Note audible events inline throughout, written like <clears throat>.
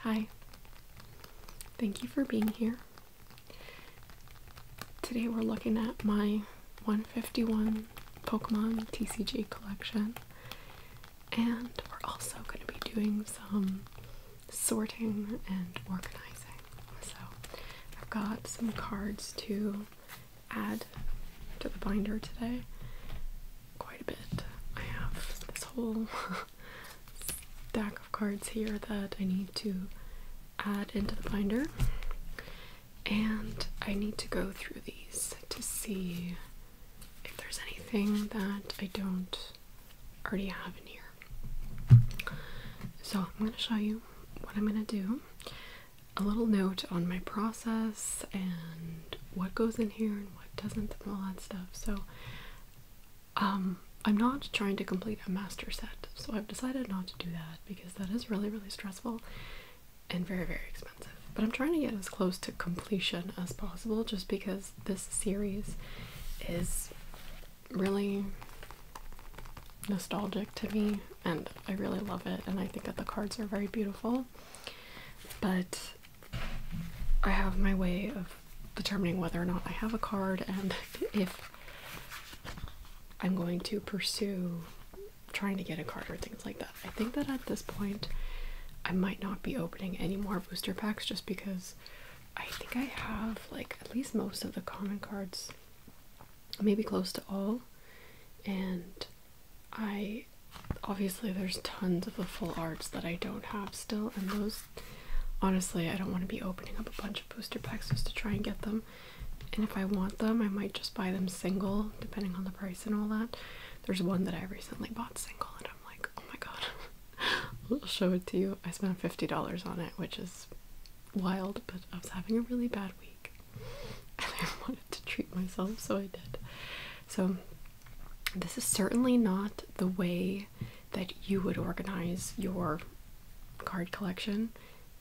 Hi, thank you for being here. Today we're looking at my 151 Pokemon TCG collection, and we're also going to be doing some sorting and organizing. So I've got some cards to add to the binder today, quite a bit. I have this whole <laughs> stack of cards here that I need to add into the binder, and I need to go through these to see if there's anything that I don't already have in here. So, I'm going to show you what I'm going to do. A little note on my process and what goes in here and what doesn't, all that stuff. So, um, I'm not trying to complete a master set, so I've decided not to do that because that is really, really stressful and very, very expensive. But I'm trying to get as close to completion as possible just because this series is really nostalgic to me and I really love it and I think that the cards are very beautiful. But I have my way of determining whether or not I have a card and <laughs> if I'm going to pursue trying to get a card or things like that. I think that at this point I might not be opening any more booster packs just because I think I have like at least most of the common cards, maybe close to all. And I obviously there's tons of the full arts that I don't have still, and those honestly, I don't want to be opening up a bunch of booster packs just to try and get them. And if I want them, I might just buy them single, depending on the price and all that. There's one that I recently bought single, and I'm like, oh my god, <laughs> I'll show it to you. I spent $50 on it, which is wild, but I was having a really bad week. <laughs> And I wanted to treat myself, so I did. So, this is certainly not the way that you would organize your card collection,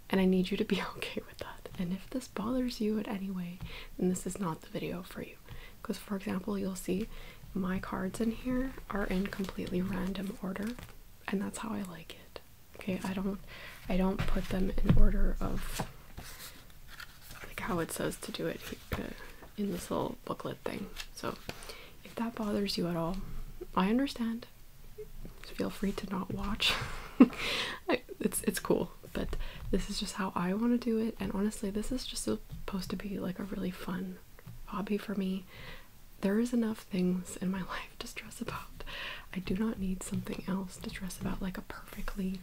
and I need you to be <laughs> okay with that. And if this bothers you in any way, then this is not the video for you. Because, for example, you'll see my cards in here are in completely random order, and that's how I like it. Okay, I don't, I don't put them in order of like how it says to do it in this little booklet thing. So if that bothers you at all, I understand. feel free to not watch. <laughs> it's it's cool, but this is just how I want to do it. And honestly, this is just supposed to be like a really fun hobby for me. There is enough things in my <laughs> life to stress about. I do not need something else to stress about, like a perfectly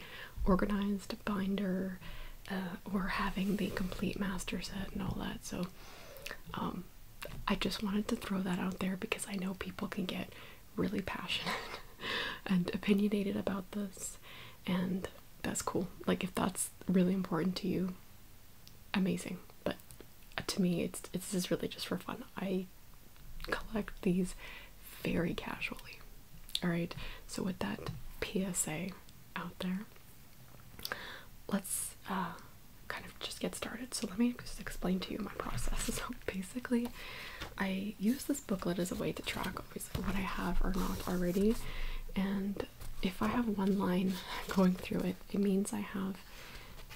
organized binder uh, we're having the complete master set and all that. So um, I just wanted to throw that out there because I know people can get really passionate <laughs> and opinionated about this, and that's cool. Like if that's really important to you, amazing. But to me, it's it's is really just for fun. I collect these very casually. All right. So with that PSA out there, Let's uh, kind of just get started. So let me just explain to you my process. <laughs> So basically, I use this booklet as a way to track obviously what I have or not already, and if I have one line <laughs> going through it, it means I have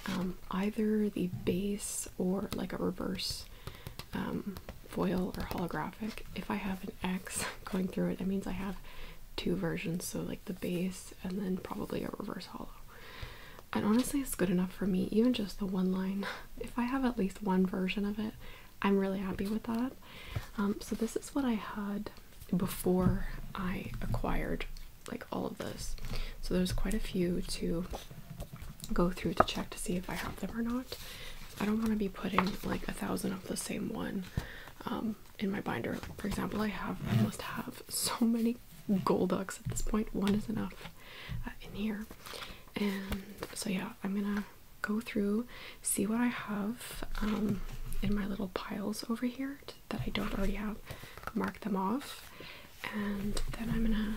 um, either the base or like a reverse um, foil or holographic. If I have X <laughs> going through it, it means I have two versions, so like the base and then probably a reverse hollow. And honestly, it's good enough for me, even just the one line. <laughs> If I have at least one version of it, I'm really happy with that. Um, so this is what I had before I acquired like all of this. So there's quite a few to go through to check to see if I have them or not. I don't want to be putting like a thousand of the same one. Um, in my binder. For example, I have I must have so many ducks at this point. One is enough uh, in here, and so yeah, I'm gonna go through, see what I have um, in my little piles over here that I don't already have, mark them off, and then I'm gonna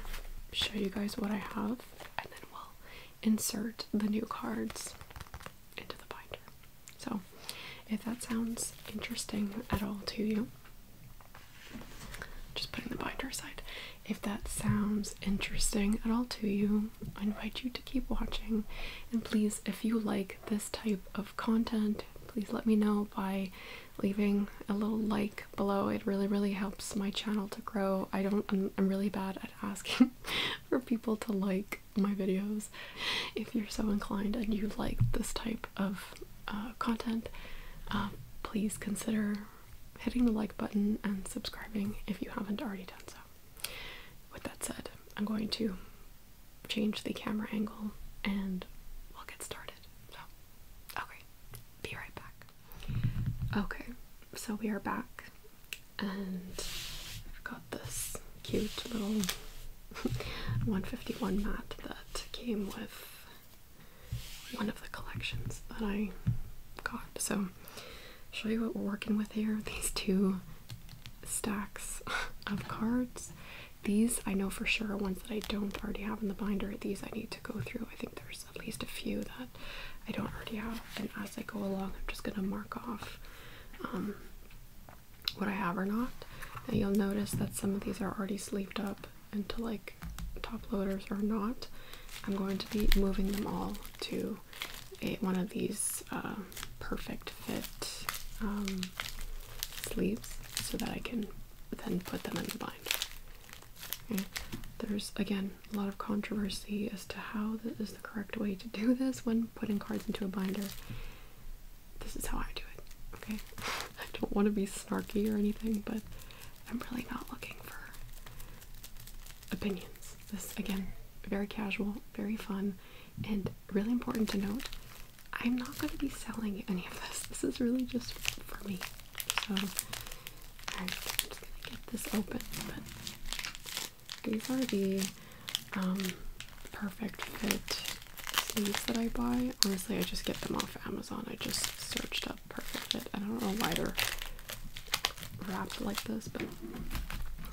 show you guys what I have, and then we'll insert the new cards into the binder. So, if that sounds interesting at all to you, just putting the binder aside. If that sounds interesting at all to you, I invite you to keep watching. And please, if you like this type of content, please let me know by leaving a little like below. It really, really helps my channel to grow. I don't, I'm, really bad at asking <laughs> for people to like my videos if you're so inclined and you like this type of uh, content uh, please consider hitting the like button and subscribing if you haven't already done so with that said i'm going to change the camera angle and we'll get started so okay be right back okay so we are back and I've got this cute little <laughs> 151 mat that came with one of the collections that I got. So, show you what we're working with here. <laughs> These two stacks of cards. These I know for sure are ones that I don't already have in the binder. These I need to go through. I think there's at least a few that I don't already have. And as I go along, I'm just going to mark off um, what I have or not. And you'll notice that some of these are already sleeved up into like top loaders or not. I'm going to be moving them all to a, one of these uh, perfect fit um, sleeves so that I can then put them in the binder. There's again a lot of controversy as to how this is the correct way to do this when putting cards into a binder this is how I do it. Okay, I don't want to be snarky or anything, but I'm really not looking for opinions. This again, very casual, very fun, and really important to note. I'm not going to be selling any of this. This is really just for me. So I'm just going to get this open, but these are the perfect fit sleeves that I buy. Honestly, I just get them off Amazon. I just searched up perfect fit. I don't know why they're wrapped like this, but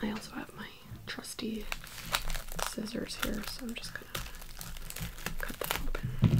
I also have my trusty scissors here, so I'm just gonna cut that open.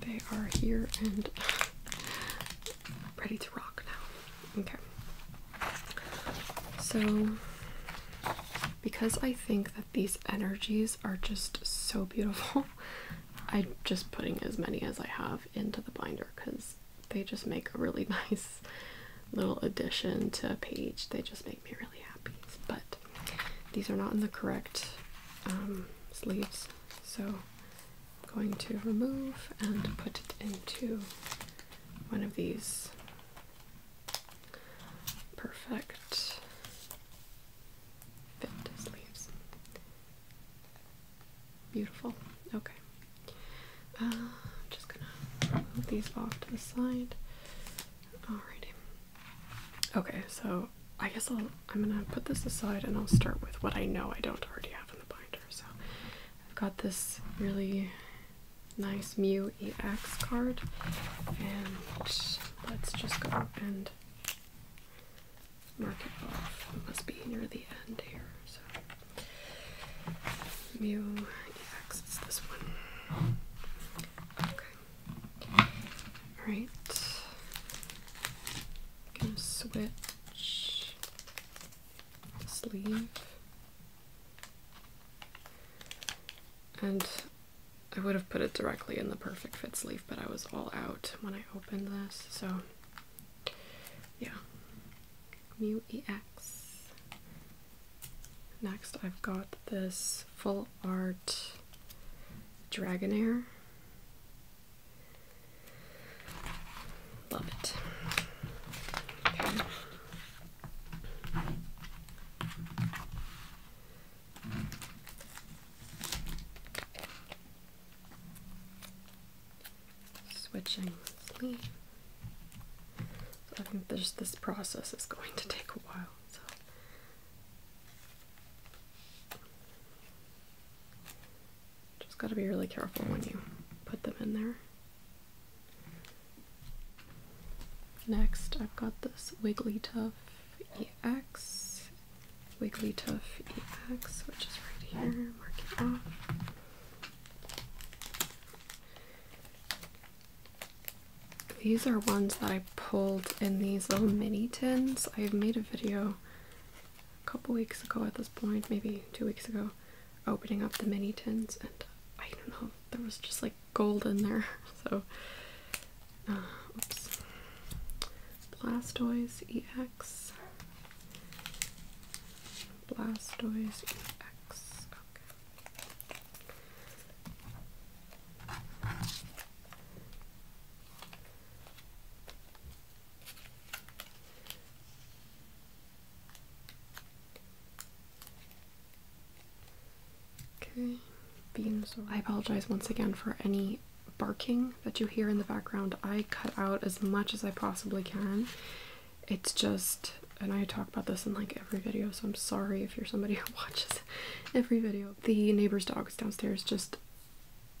They are here and <laughs> ready to rock now. Okay. So because I think that these energies are just so beautiful. <laughs> I'm just putting as many as I have into the binder because they just make a really <laughs> nice little addition to a page. They just make me really happy. But these are not in the correct um, sleeves, so I'm going to remove and put it into one of these perfect fit as Beautiful. Okay. I'm uh, just gonna move these off to the side. Alrighty. Okay, so I guess I'll, I'm gonna put this aside and I'll start with what I know I don't already have in the binder. So I've got this really nice mu EX card. And let's just go and mark it off. It must be near the end here. So Mew EX is this one. Okay. Alright. Gonna switch sleeve. And I would have put it directly in the perfect fit sleeve, but I was all out when I opened this, so yeah. Mu EX. Next, I've got this full art Dragonair. Love it. Okay. Switching I think there's this process is going to take a while. So just gotta be really careful when you put them in there. Next, I've got this Wigglytuff EX, Wigglytuff EX, which is right here, mark it off. These are ones that I pulled in these little mini tins. I made a video a couple weeks ago at this point, maybe two weeks ago, opening up the mini tins, and I don't know, there was just like gold in there. <laughs> So, uh, Blastoise EX. Blastoise EX. Okay. Okay, beans. I apologize once again for any barking that you hear in the background. I cut out as much as I possibly can. It's just, and I talk about this in like every video, so I'm sorry if you're somebody <laughs> who watches every video. The neighbor's dogs downstairs just,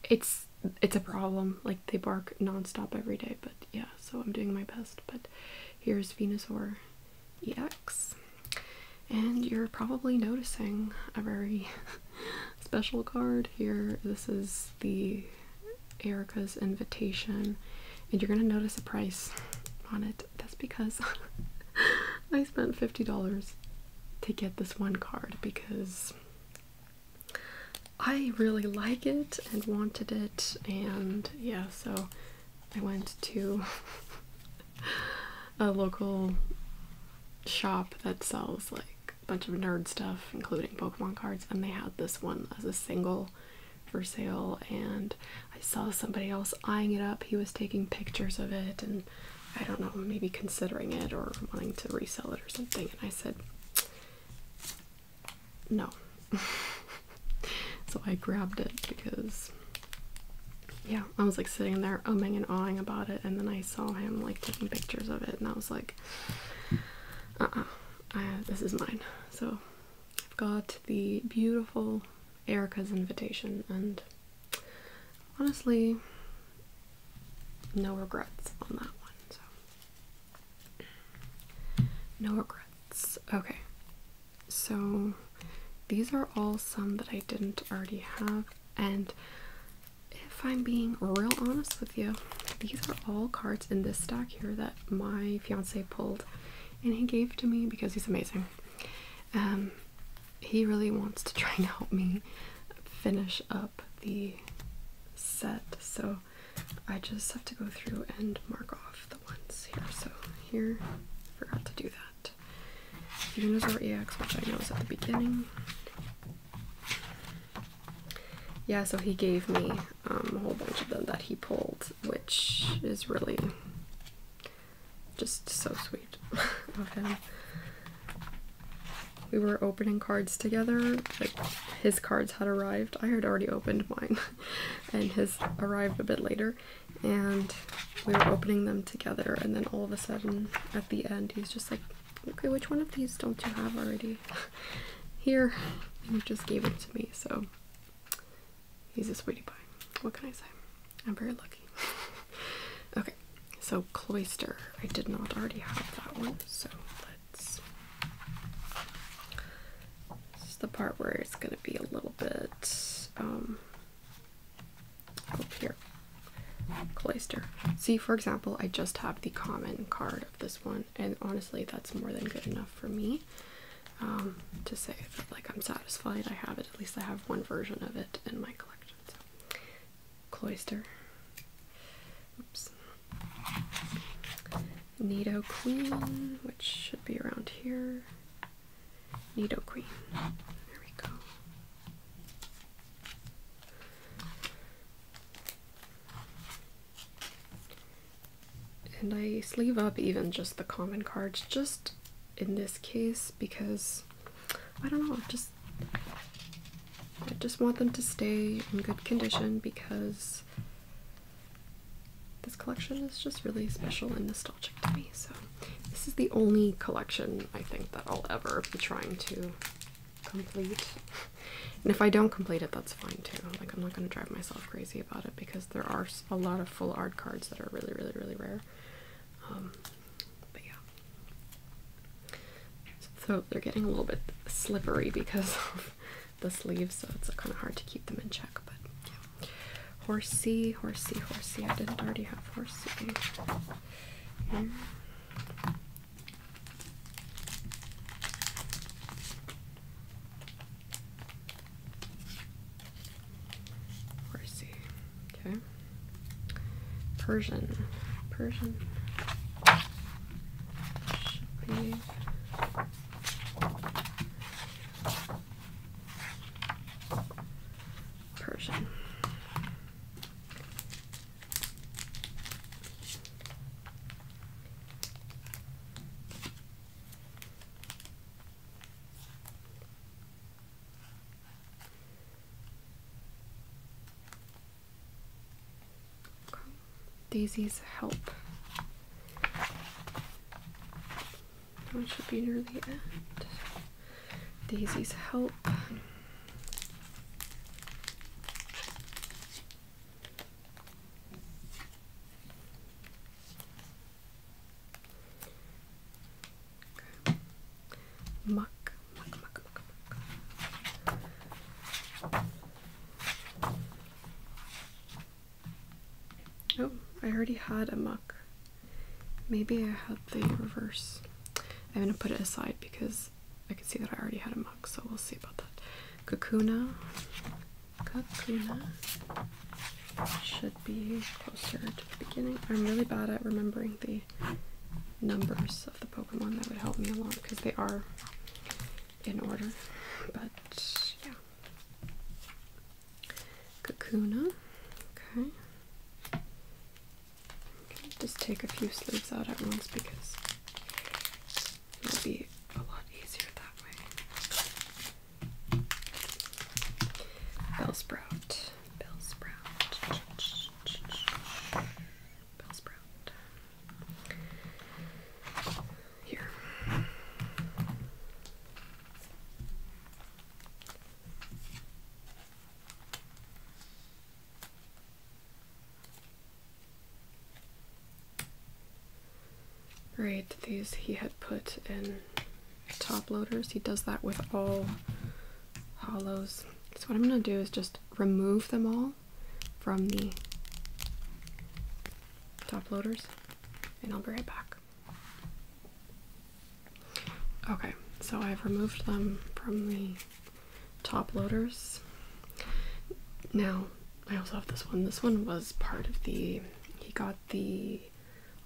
it's it's a problem. Like they bark nonstop every day, but yeah, so I'm doing my best. But here's Venusaur EX. And you're probably noticing a very <laughs> special card here. This is the Erica's invitation, and you're going to notice a price on it. That's because <laughs> I spent $50 to get this one card because I really like it and wanted it, and yeah, so I went to <laughs> a local shop that sells like a bunch of nerd stuff, including Pokemon cards, and they had this one as a single for sale. And I saw somebody else eyeing it up. He was taking pictures of it, and I don't know, maybe considering it or wanting to resell it or something. And I said, no. <laughs> so I grabbed it because yeah, I was like sitting there umming and awing about it, and then I saw him like taking pictures of it, and I was like, uh uh, this is mine. So I've got the beautiful Erica's invitation, and honestly, no regrets on that one. So, no regrets. Okay, so these are all some that I didn't already have, and if I'm being real honest with you, these are all cards in this stack here that my fiance pulled and he gave to me because he's amazing. Um, he really wants to <laughs> try and help me finish up the set, so I just have to go through and mark off the ones here. So, here, forgot to do that first Unizor EX, which I know is at the beginning. Yeah, so he gave me um, a whole bunch of them that he pulled, which is really just so sweet <laughs> of him. We were opening cards together, like his cards had arrived. I had already opened mine, <laughs> and his arrived a bit later and we were opening them together and then all of a sudden at the end he's just like okay which one of these don't you have already <laughs> here and he just gave it to me so he's a sweetie pie what can i say i'm very lucky <laughs> okay so cloister i did not already have that one so let's this is the part where it's going to be a little bit um up here cloister see for example i just have the common card of this one and honestly that's more than good enough for me um, to say like i'm satisfied i have it at least i have one version of it in my collection cloister oops nido queen which should be around here Needle Queen. There we go. And I sleeve up even just the common cards, just in this case, because I don't know, just I just want them to stay in good condition because this collection is just really special and nostalgic to me, so this is the only collection I think that I'll ever be trying to complete. And if I don't complete it, that's fine too. Like, I'm not going to drive myself crazy about it because there are a lot of full art cards that are really, really, really rare. Um, but yeah. So they're getting a little bit slippery because <laughs> of the sleeves, so it's kind of hard to keep them in check. But Horsey, horsey, horsey. I didn't already have horsey. Horsey. Okay. Persian. Persian. Persian. Daisy's help. That one should be near the end. Daisy's help. Muck, muck, muck, muck, muck. Oh, I already had a muck. Maybe I had the reverse. I'm gonna put it aside because I can see that I already had a mug, so we'll see about that. Kakuna. Kakuna should be closer to the beginning. I'm really bad at remembering the numbers of the Pokemon. That would help me a lot because they are in order. But yeah. Kakuna. Okay. Just take a few sleeves out at once because it'll be a lot easier that way. Bell sprout. Bell sprout. Bell sprout. Here. Right, these he had put in top loaders. He does that with all hollows. So what I'm going to do is just remove them all from the top loaders and I'll be right back. Okay, so I've removed them from the top loaders. Now, I also have this one. This one was part of the. He got the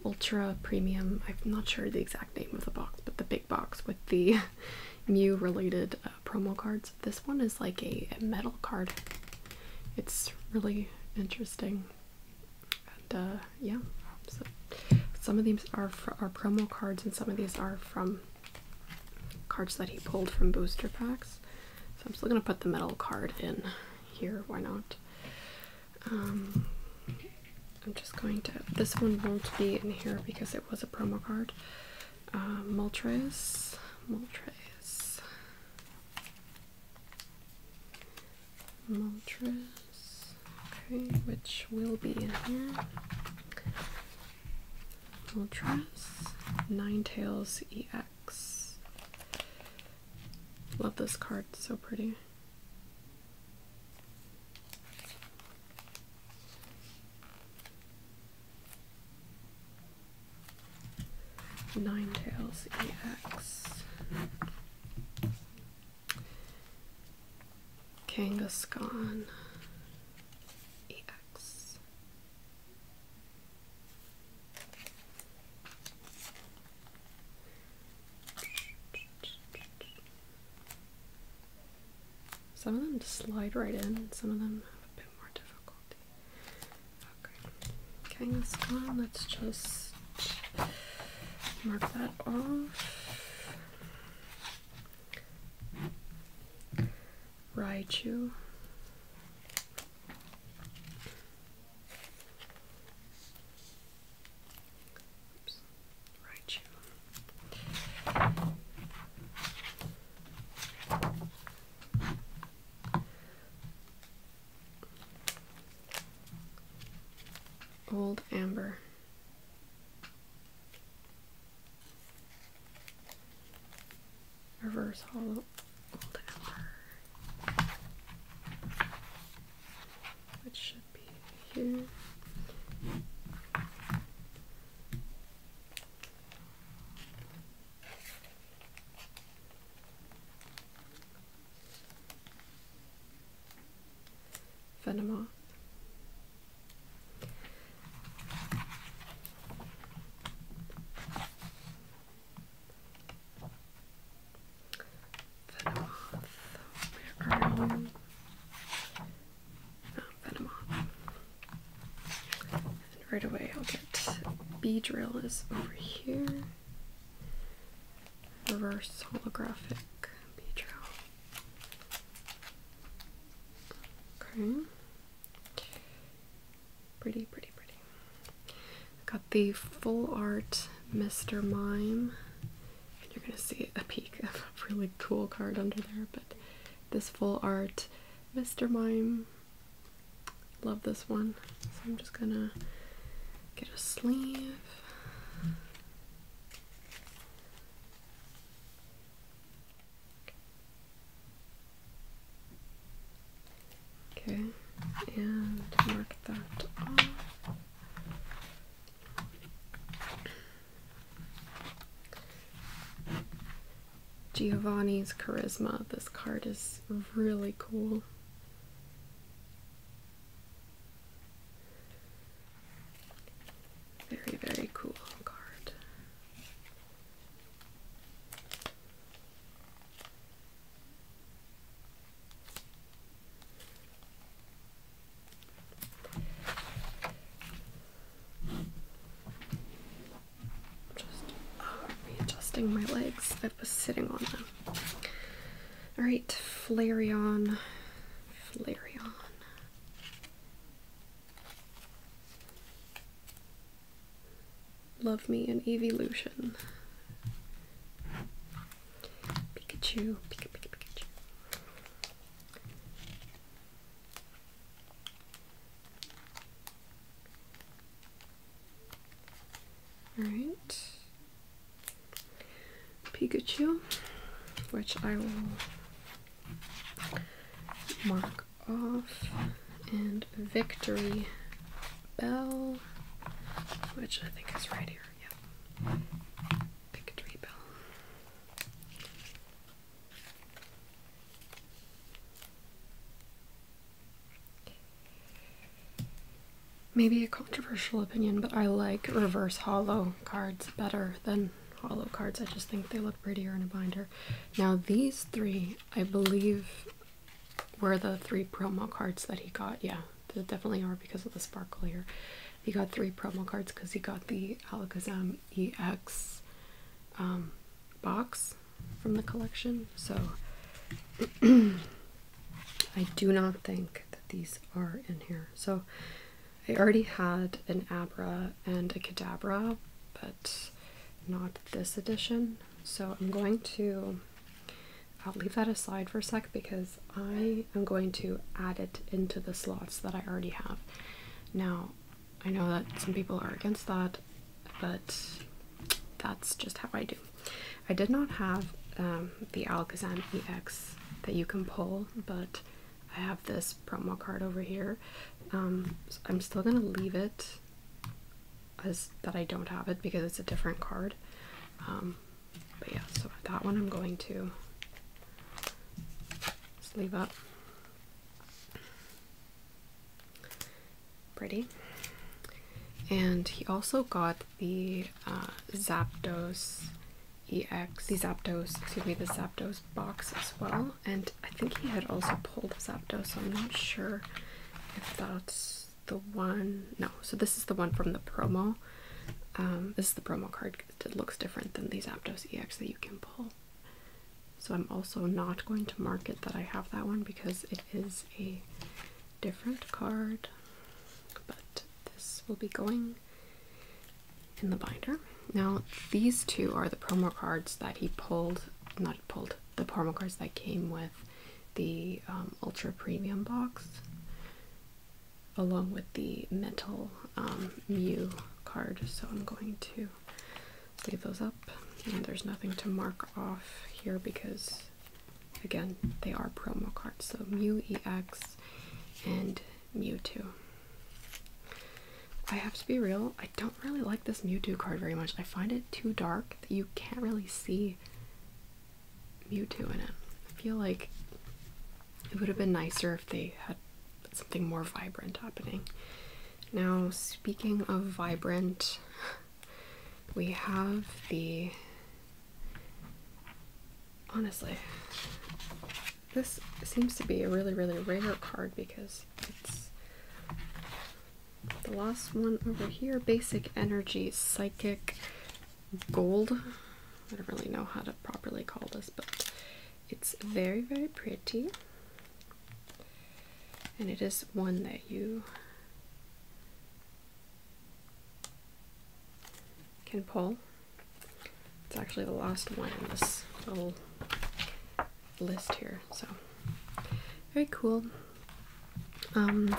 Ultra Premium. I'm not sure the exact name of the box, but the big box with the <laughs> Mew related uh, promo cards. This one is like a metal card. It's really interesting and uh, yeah, so some of these are are promo cards, and some of these are from cards that he pulled from booster packs. So I'm still gonna put the metal card in here. Why not? Um, I'm just going to. This one won't be in here because it was a promo card. Uh, Moltres, Moltres. Moltres, okay, which will be in here. Nine Tails EX. Love this card, so pretty. Nine Tails EX. Kangaskhan EX. Some of them just slide right in, some of them have a bit more difficulty. Kangaskhan, let's just Mark that off. Raichu. Oops. Raichu. Old Amber. Reverse hollow old which should be here. Venomoth. Venomoth. Where are right away I'll get B drill is over here. Reverse holographic B drill. Okay. Pretty, pretty, pretty. Got the full art Mr. Mime. And you're gonna see a peek of a really cool card under there, but this full art Mr. Mime. Love this one. So I'm just gonna get a sleeve. Okay, and mark that off. Giovanni's Charisma. This card is really cool. Very, very cool card. Just uh, my legs. I was sitting on them. Alright, Flareon. Flareon. Love me an evolution. Pikachu, Pikachu, Pikachu. All right. Pikachu, which I will mark off, and Victory Bell, which I think is right here. Yeah. Victory Bell. Maybe a controversial opinion, but I like reverse hollow cards better than hollow cards. I just think they look prettier in a binder. Now these three, I believe, were the three promo cards that he got. Yeah, they definitely are because of the sparkle here. He got three promo cards because he got the Alakazam EX um, box from the collection. So <clears throat> I do not think that these are in here. So I already had an Abra and a Kadabra, but not this edition. So I'm going to I'll leave that aside for a sec because I am going to add it into the slots that I already have. Now, I know that some people are against that, but that's just how I do. I did not have um, the Alakazam EX that you can pull, but I have this promo card over here. Um, I'm still gonna leave it as that I don't have it because it's a different card. Um, but yeah, so that one I'm going to sleeve up. Pretty. And he also got the uh, Zapdos EX, the aptos excuse me, the Zapdos box as well. And I think he had also pulled the Zapdos, so I'm not sure if that's the one. No, so this is the one from the promo. Um, this is the promo card. It looks different than these aptos EX that you can pull. So I'm also not going to market that I have that one because it is a different card. But this will be going in the binder. Now these two are the promo cards that he pulled, not pulled, the promo cards that came with the um, Ultra Premium box, along with the Metal mu um, card. So I'm going to leave those up, and there's nothing to mark off here because, again, they are promo cards. So mu EX and Mewtwo. I have to be real, I don't really like this Mewtwo card very much. I find it too dark that you can't really see Mewtwo in it. I feel like it would have been nicer if they had something more vibrant happening. Now, speaking of vibrant, <laughs> we have the. Honestly, this seems to be a really, really rare card because it's the last one over here. Basic energy, psychic gold. I don't really know how to properly call this, but it's very, very pretty. And it is one that you can pull it's actually the last one in this little list here, so very cool. Um,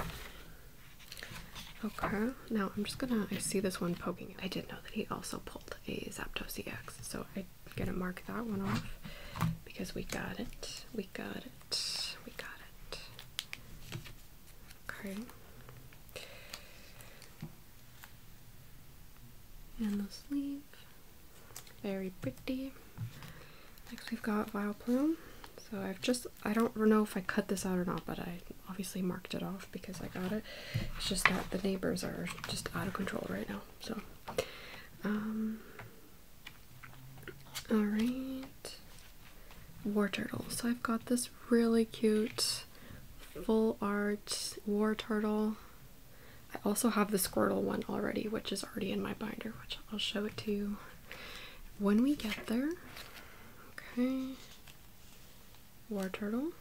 okay, now I'm just gonna, I see this one poking I did know that he also pulled a Zapdos EX, so I'm gonna mark that one off because we got it, we got it, we got it. Okay. And the sleeve. Very pretty. Next we've got Vile Plume. So I've just, I don't know if I cut this out or not, but I obviously marked it off because I got it. It's just that the neighbors are just out of control right now. So, um, all right. War Turtle. So I've got this really cute. Full art war turtle. I also have the Squirtle one already, which is already in my binder, which I'll show it to you when we get there. Okay. War turtle.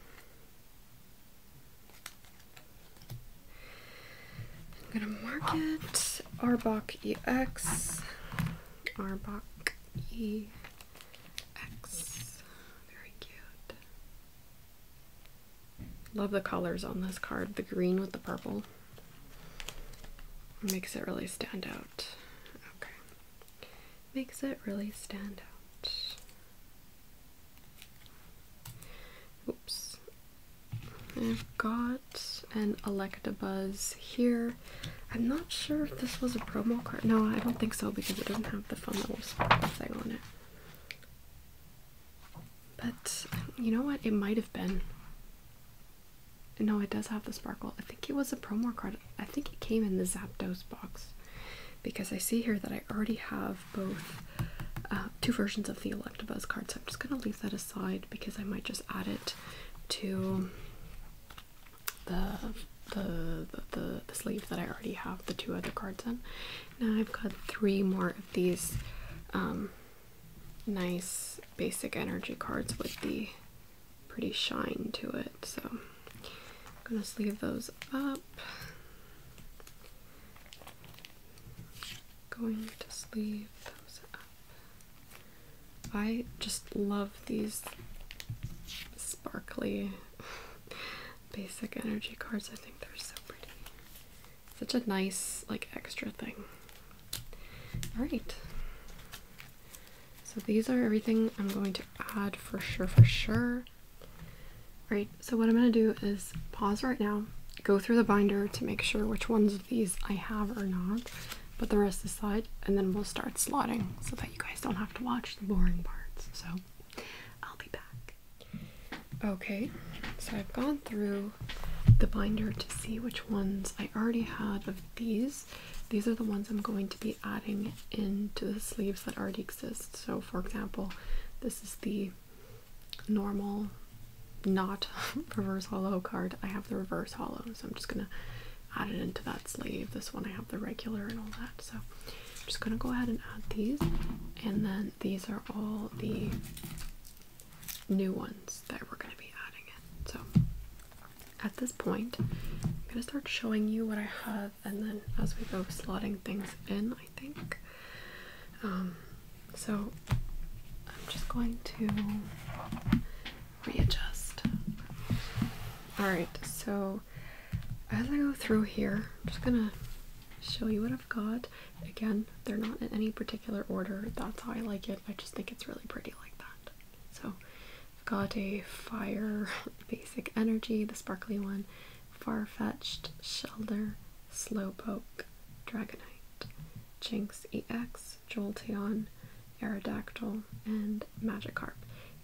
I'm gonna mark it. Arbok EX. Arbok EX. Very cute. Love the colors on this card. The green with the purple makes it really stand out. Okay. Makes it really stand out. Oops. I've got an Electabuzz here. I'm not sure if this was a promo card. No, I don't think so because it doesn't have the fun little sparkle thing on it. But you know what? It might have been. No, it does have the sparkle. I think it was a promo card. I think it came in the Zapdos box because I see here that I already have both uh, two versions of the Electabuzz card. So I'm just going to leave that aside because I might just add it to the the, the the sleeve that I already have the two other cards in. Now I've got three more of these um, nice basic energy cards with the pretty shine to it. So I'm gonna sleeve those up. Going to sleeve those up. I just love these sparkly basic energy cards. I think they're so pretty. Such a nice, like, extra thing. Alright. So these are everything I'm going to add for sure, for sure. Alright, so what I'm going to do is pause right now, go through the binder to make sure which ones of these I have or not, put the rest aside, and then we'll start slotting so that you guys don't have to watch the boring parts. So I'll be back. Okay, so I've gone through the binder to see which ones I already had of these. These are the ones I'm going to be adding into the sleeves that already exist. So, for example, this is the normal, not <laughs> reverse hollow card. I have the reverse hollow, so I'm just gonna add it into that sleeve. This one I have the regular and all that. So, I'm just gonna go ahead and add these, and then these are all the new ones that we're gonna be adding in. So at this point, I'm gonna start showing you what I have, and then as we go slotting things in, I think. Um, so I'm just going to readjust. Alright, so as I go through here, I'm just gonna show you what I've got. Again, they're not in any particular order. That's how I like it. I just think it's really pretty like that. So I've got a fire, <laughs> basic energy, the sparkly one, far-fetched, shelter, slowpoke, dragonite, Jinx EX, Jolteon, Aerodactyl, and and Magikarp.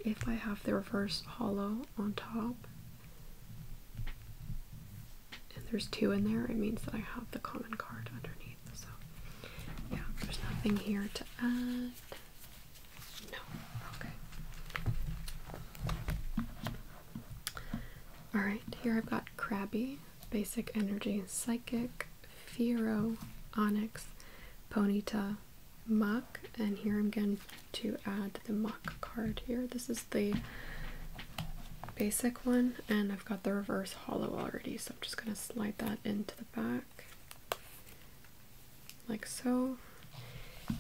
If I have the reverse hollow on top, and there's two in there, it means that I have the common card underneath. So, yeah, there's nothing here to add. No, okay. Alright, here I've got Crabby, Basic Energy, Psychic, Fiero, Onyx, Ponita muck and here I'm going to add the muck card here. This is the basic one and I've got the reverse hollow already so I'm just going to slide that into the back like so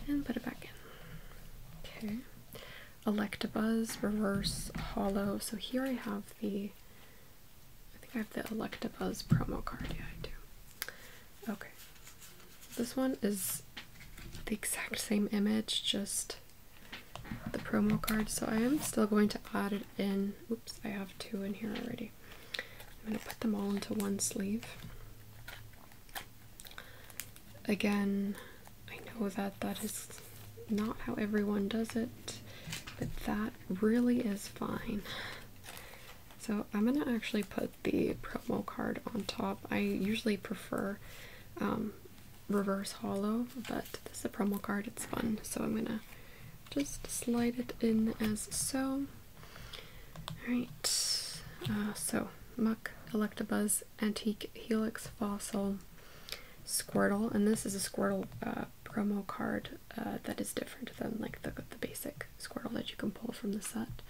and put it back in. Okay. Electabuzz reverse hollow. So here I have the I think I have the Electabuzz promo card. Yeah, I do. Okay. This one is the exact same image, just the promo card. So I am still going to add it in. Oops, I have two in here already. I'm going to put them all into one sleeve. Again, I know that that is not how everyone does it, but that really is fine. So I'm going to actually put the promo card on top. I usually prefer um, reverse hollow, but this is a promo card, it's fun. So I'm going to just slide it in as so. Alright, uh, so Muck, Electabuzz, Antique Helix Fossil, Squirtle, and this is a Squirtle uh, promo card uh, that is different than like the, the basic Squirrel that you can pull from the set.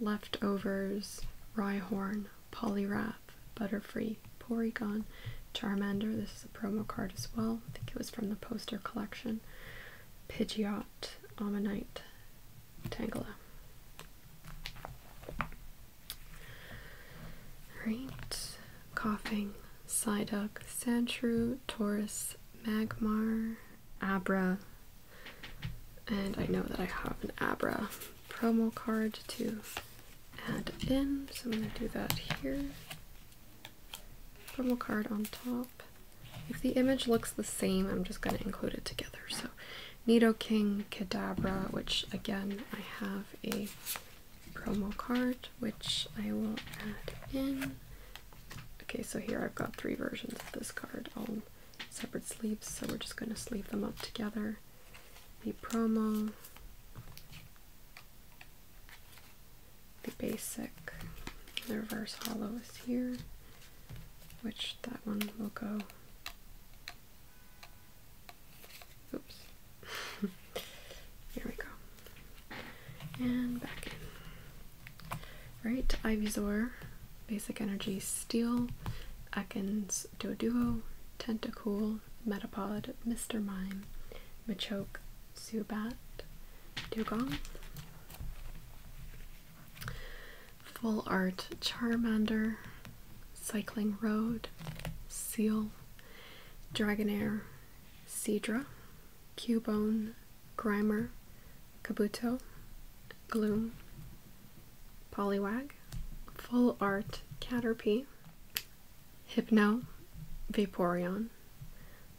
Leftovers, Rhyhorn, Poliwrath, Butterfree, Porygon, Charmander. This is a promo card as well. I think it was from the poster collection. Pidgeot, Ammonite, Tangela. Alright. Coughing, Psyduck, Sandshrew, Taurus, Magmar, Abra, and I know that I have an Abra promo card to add in, so I'm going to do that here. Promo card on top. If the image looks the same, I'm just going to include it together. So, King Kadabra, which again I have a promo card which I will add in. Okay, so here I've got three versions of this card separate sleeves, so we're just going to sleeve them up together. The promo, the basic, the reverse hollow is here, which that one will go. Oops. <laughs> here we go. And back in. Alright, Ivysaur, Basic Energy Steel, Ekans Doduo, Tentacool, Metapod, Mr. Mime, Machoke, Zubat, Dugong. Full Art Charmander, Cycling Road, Seal, Dragonair, Cedra, Cubone, Grimer, Kabuto, Gloom, Poliwag, Full Art Caterpie, Hypno, Vaporeon,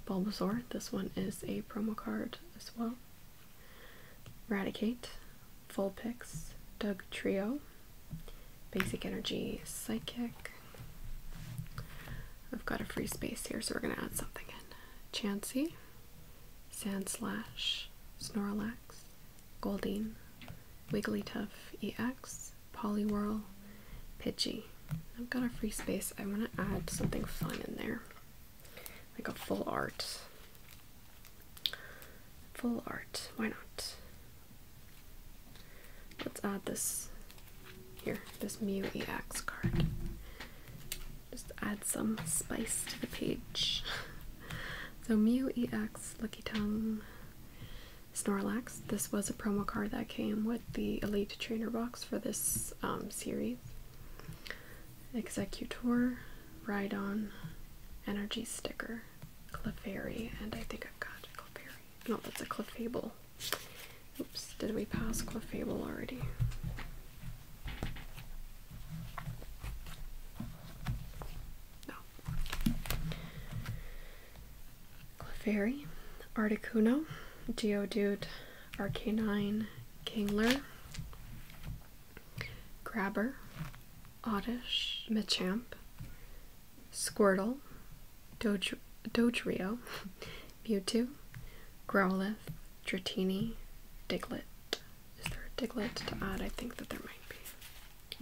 Bulbasaur, this one is a promo card as well, Radicate, Vulpix, Doug Trio, Basic Energy, Psychic. I've got a free space here, so we're going to add something in. Chansey, Sandslash, Snorlax, Goldeen, Wigglytuff EX, Poliwhirl, Pidgey. I've got a free space. I want to add something fun in there. Like a full art. Full art. Why not? Let's add this here, this Mew EX card. Just add some spice to the page. so Mew EX Lucky Tongue Snorlax. This was a promo card that came with the Elite Trainer box for this um, series. Executor, Rhydon, Energy Sticker, Clefairy, and I think I've got Clefairy. No, that's a Clefable. Oops, did we pass Clefable already? No. Articuno, Geodude, Arcanine, Kingler, Grabber, Oddish, Machamp, Squirtle, Dodrio, Dodrio Mewtwo, Growlithe, Dratini, Diglett. Is there a diglet to add? I think that there might be.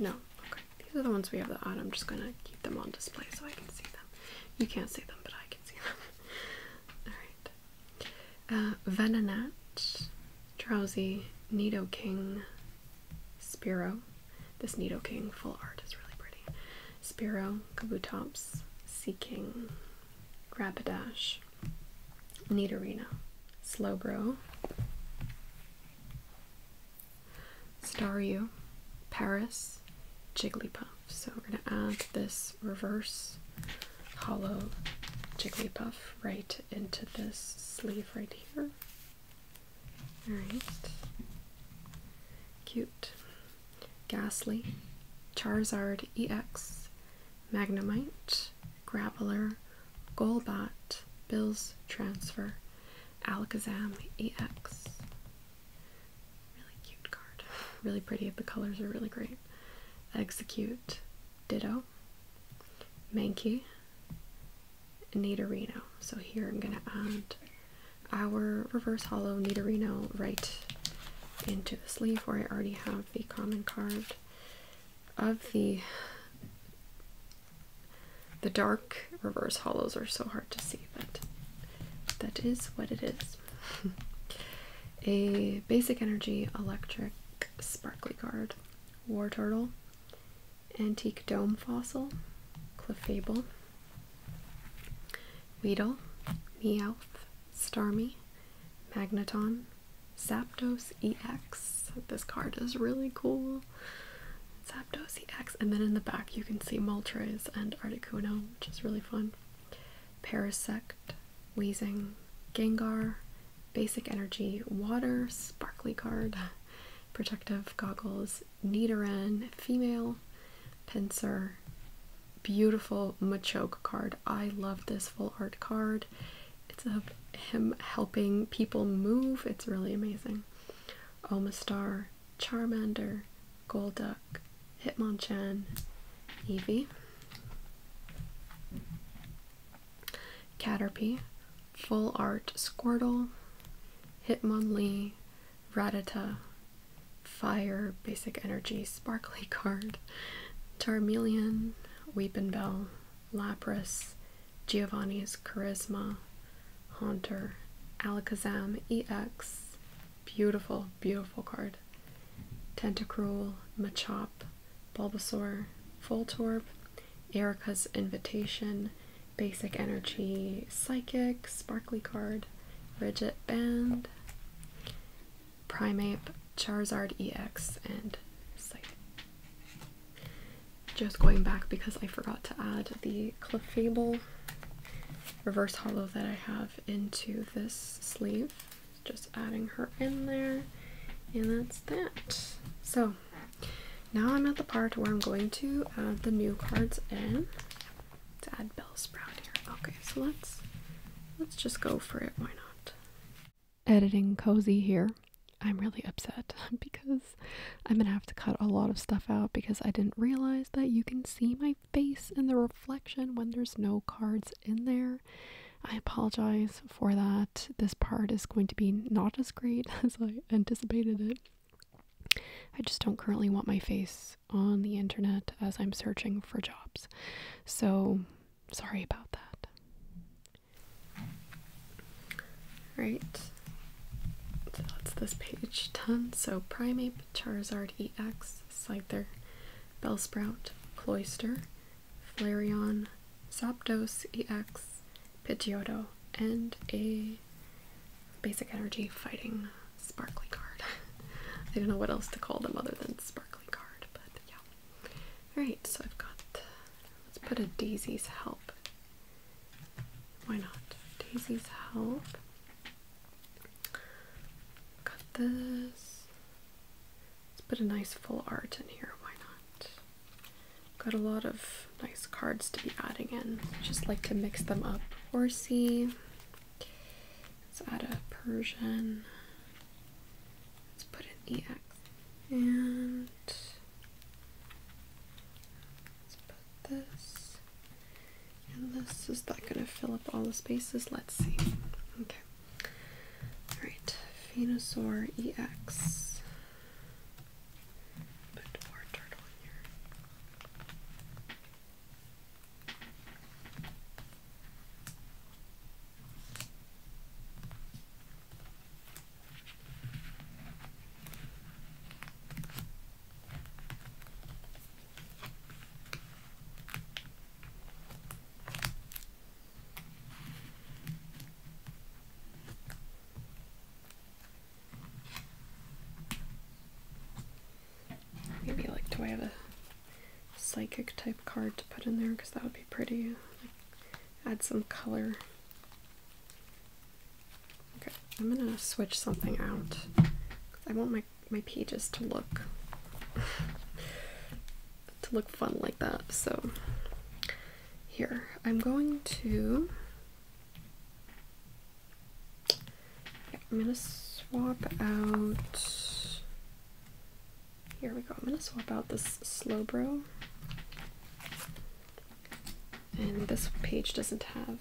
No. Okay. These are the ones we have to add. I'm just gonna keep them on display so I can see them. You can't see them, but I can see them. <laughs> All right. Uh, Venonat, Drowsy, Nido King, Spiro. This Nido King full art is really pretty. Spiro, Kabutops, Sea King, Rapidash, Nidorina, Slowbro, Staru, Paris, Jigglypuff. So we're going to add this reverse hollow Jigglypuff right into this sleeve right here. Alright. Cute. Ghastly, Charizard EX, Magnemite, Graveler, Golbat, Bills Transfer, Alakazam EX. Really cute card. Really pretty. The colors are really great. Execute, Ditto, Mankey, Nidorino. So here I'm going to add our reverse hollow Nidorino right into the sleeve where I already have the common card of the the dark reverse hollows are so hard to see, but that is what it is. <laughs> a basic energy electric sparkly card, War Turtle, Antique Dome Fossil, Clefable, Weedle, Meowth, Starmie, Magneton, Zapdos EX. This card is really cool. Zapdos EX. And then in the back you can see Moltres and Articuno, which is really fun. Parasect, Weezing, Gengar, Basic Energy, Water, Sparkly card, Protective Goggles, Nidoran, Female, Pincer, beautiful Machoke card. I love this full art card. It's of him helping people move. It's really amazing. Omastar, Charmander, Golduck, Hitmonchan, Eevee, Caterpie, Full Art Squirtle, Hitmonlee, Ratata, Fire, Basic Energy, Sparkly <laughs> Card, Charmeleon, Weepinbell, Lapras, Giovanni's Charisma, Hunter, Alakazam EX, beautiful, beautiful card, Tentacruel, Machop, Bulbasaur, Voltorb, Erica's Invitation, Basic Energy, Psychic, Sparkly Card, Rigid Band, Primeape, Charizard EX, and Just going back because I forgot to add the Clefable reverse hollow that I have into this sleeve. Just adding her in there, and that's that. So now I'm at the part where I'm going to add the new cards in. Let's add Bellsprout here. Okay, so let's let's just go for it. Why not? editing cozy here. I'm really upset <laughs> because I'm gonna have to cut a lot of stuff out because I didn't realize that you can see my face in the reflection when there's no cards in there. I apologize for that. This part is going to be not as great <laughs> as I anticipated it. I just don't currently want my face on the internet as I'm searching for jobs. So sorry about that. Right, so that's this page done. So Primate, Charizard EX, Scyther, Bellsprout, Cloyster, Flareon, Zapdos EX, Pidgeotto, and a basic energy fighting sparkly card. <laughs> I don't know what else to call them other than sparkly card, but yeah. Alright, so I've got let's put a Daisy's Help. Why not? Daisy's Help. Got this. Let's put a nice full art in here. Why not? Got a lot of nice cards to be adding in. Just like to mix them up. Horsey. Let's add a Persian. Let's put an EX. And let's put this. And this is that gonna fill up all the spaces? Let's see. Okay. Alright, Venusaur EX. Put more turtle in here. Maybe like do I have a psychic type card to put in there because that would be pretty add some color. Okay, I'm gonna switch something out. I want my, my pages to look <laughs> to look fun like that. So here, I'm going to I'm gonna swap out here we go. I'm gonna swap out this slow bro, And this page doesn't have,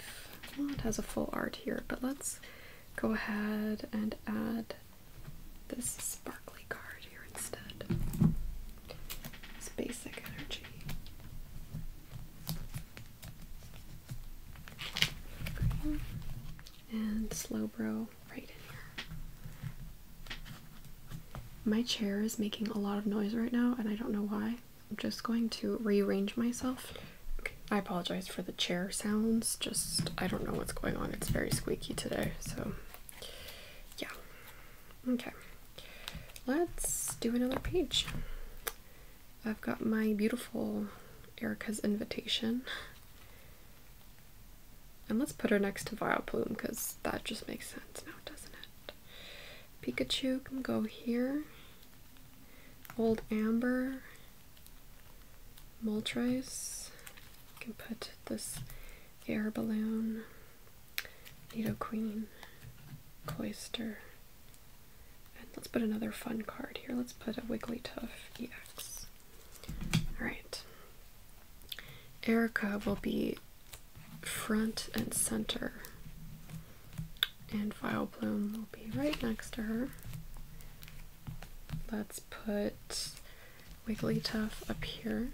well, it has a full art here, but let's go ahead and add this sparkly card here instead. It's basic energy. and slow bro. My chair is making a lot of noise right now, and I don't know why. I'm just going to rearrange myself. Okay. I apologize for the chair sounds, just I don't know what's going on. It's very squeaky today, so yeah. Okay, let's do another page. I've got my beautiful Erica's invitation. And let's put her next to Vileplume because that just makes sense now, doesn't it? Pikachu can go here. Old Amber. Moltres. You can put this air balloon. Nido Queen. Cloister. And let's put another fun card here. Let's put a Wigglytuff EX. Alright. Erica will be front and center, and Violet Bloom will be right next to her. Let's put Wigglytuff up here,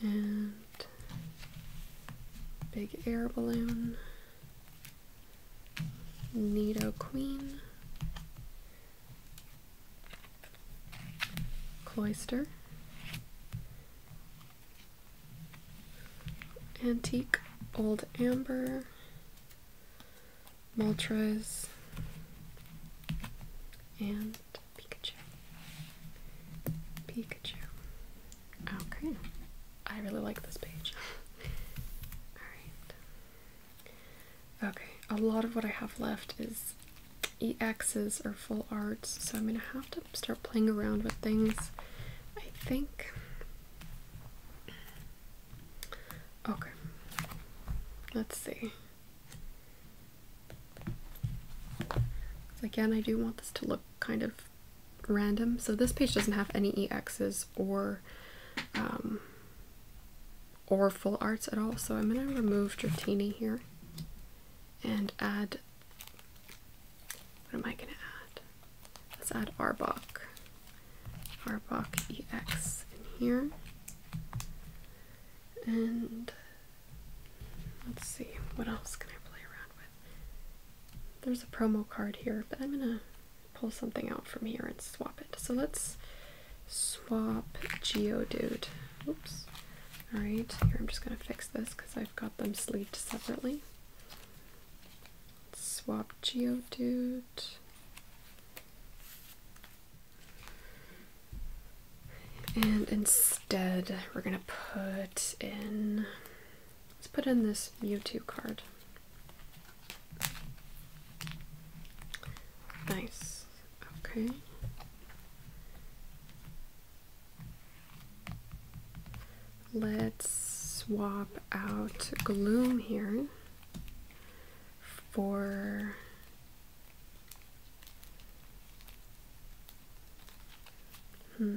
and Big Air Balloon, Nido Queen, cloister, antique, old amber, maltraz, and Pikachu. Pikachu. Okay. I really like this page. <laughs> Alright. Okay, a lot of what I have left is exes or full arts, so I'm gonna have to start playing around with things. I think. Okay, let's see. Again, I do want this to look kind of random. So this page doesn't have any exes or um, or full arts at all. So I'm going to remove Dratini here and add. What am I going to add? Let's add Arbok. Arbok EX in here. And let's see, what else can I play around with? There's a promo card here, but I'm going to pull something out from here and swap it. So let's swap Geodude. Oops. Alright, here I'm just going to fix this because I've got them sleeved separately. Swap Geodude. And instead, we're going to put in, let's put in this U2 card. Nice. Okay. Let's swap out Gloom here for hmm.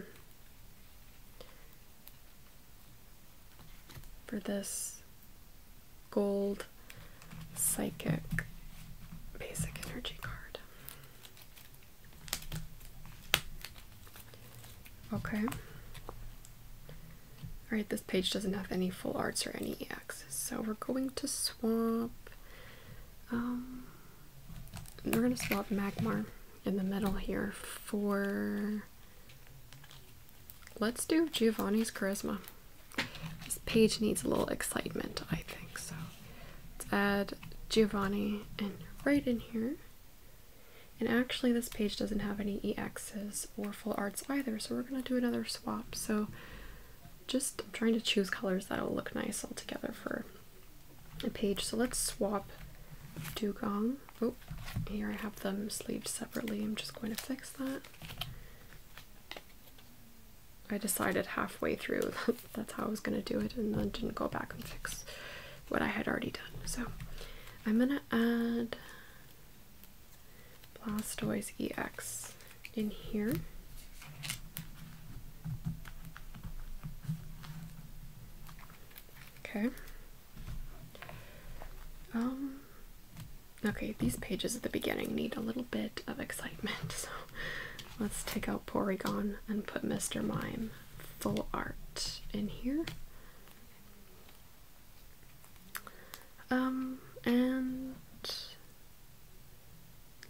for this gold psychic basic energy card. Okay. Alright, this page doesn't have any full arts or any EX, so we're going to swap. Um, we're going to swap Magmar in the middle here for. Let's do Giovanni's Charisma. This page needs a little excitement, I think. So let's add Giovanni and right in here. And actually, this page doesn't have any exes or full arts either, so we're going to do another swap. So just I'm trying to choose colors that'll look nice all together for a page. So let's swap dugong. Oh, here I have them sleeved separately. I'm just going to fix that. I decided halfway through <laughs> that's how I was going to do it and then didn't go back and fix what I had already done. So I'm going to add Blastoise EX in here. Okay. Um Okay, these pages at the beginning need a little bit of excitement, <laughs> so let's take out Porygon and put Mr. Mime full art in here. Um, and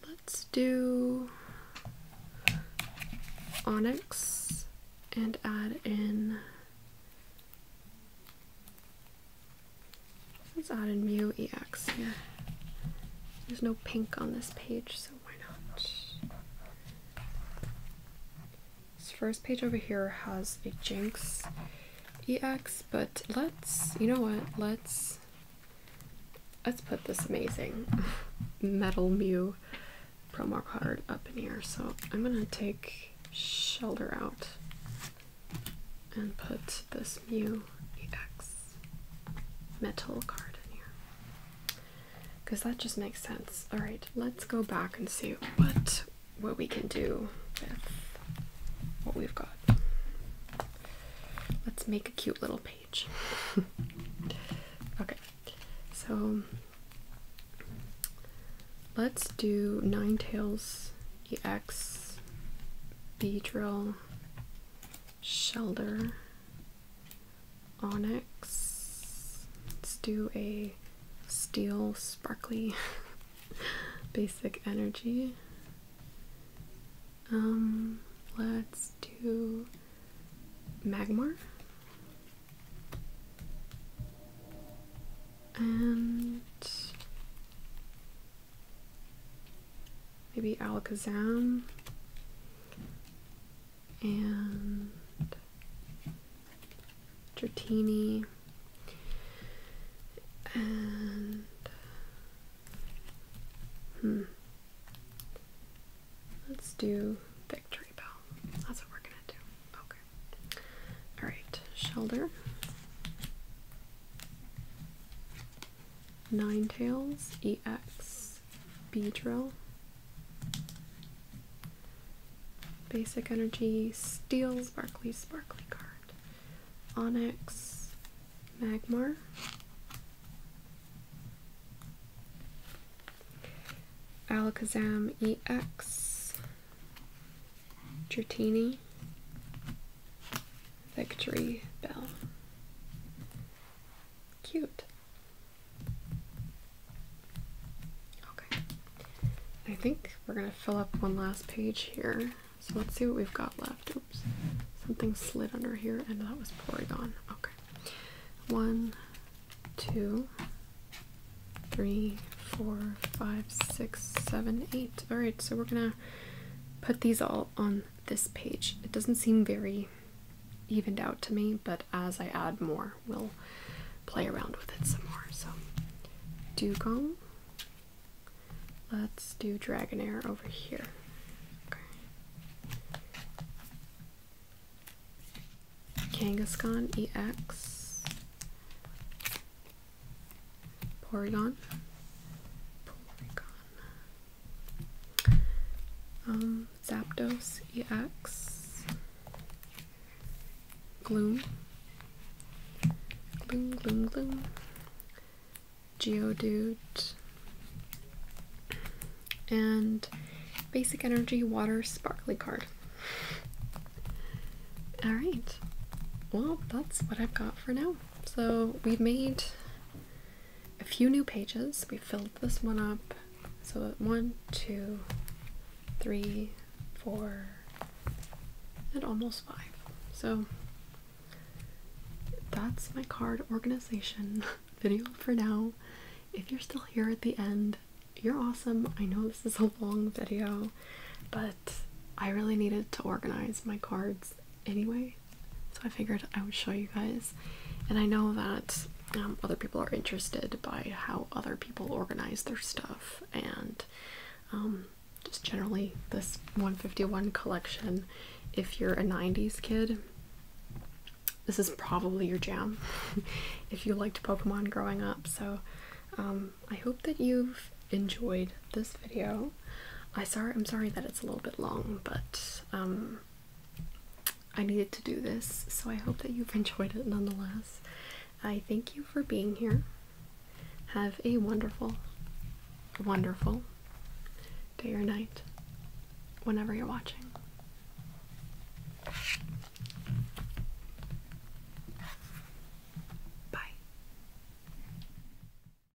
let's do Onyx and add in Let's add in mu ex, yeah. There's no pink on this page, so why not? This first page over here has a jinx ex, but let's, you know what, let's, let's put this amazing <laughs> metal Mew promo card up in here. So I'm gonna take shelter out and put this mu ex metal card in here because that just makes sense. All right, let's go back and see what what we can do with what we've got. Let's make a cute little page. <laughs> okay, so let's do nine tails ex b drill Shelter Onyx. Let's do a steel sparkly <laughs> basic energy. Um, let's do Magmar. And maybe Alakazam and Dratini and hmm. Let's do Victory Bell. That's what we're gonna do. Okay. Alright, shoulder. Nine Tails, EX, Beedrill, Basic Energy, Steel, Sparkly, Sparkly Card, Onyx, Magmar, Alakazam EX, Dratini, Victory Bell. Cute. Okay. I think we're going to fill up one last page here. So let's see what we've got left. Oops. Something slid under here and that was Porygon. Okay. One, two, three, four, five, six, seven, eight. Alright, so we're gonna put these all on this page. It doesn't seem very evened out to me, but as I add more, we'll play around with it some more. So, dugong. Let's do Dragonair over here. Okay. Kangaskhan EX. Porygon. Porygon. Um, Zapdos EX. Gloom. Gloom, gloom, gloom. Geodude. And basic energy water sparkly card. Alright. Well, that's what I've got for now. So we've made a few new pages. We filled this one up. So one, two, three, four, and almost five. So that's my card organization <laughs> video for now. If you're still here at the end, you're awesome. I know this is a long video, but I really needed to organize my cards anyway, so I figured I would show you guys. And I know that um, other people are interested by how other people organize their stuff and um, just generally this 151 collection. If you're a 90s kid, this is probably your jam <laughs> if you liked Pokemon growing up. So um, I hope that you've enjoyed this video. I am sorry that it's a little bit long, but um, I needed to do this, so I hope that you've <laughs> enjoyed it nonetheless. I thank you for being here. Have a wonderful, wonderful day or night, whenever you're watching. Bye.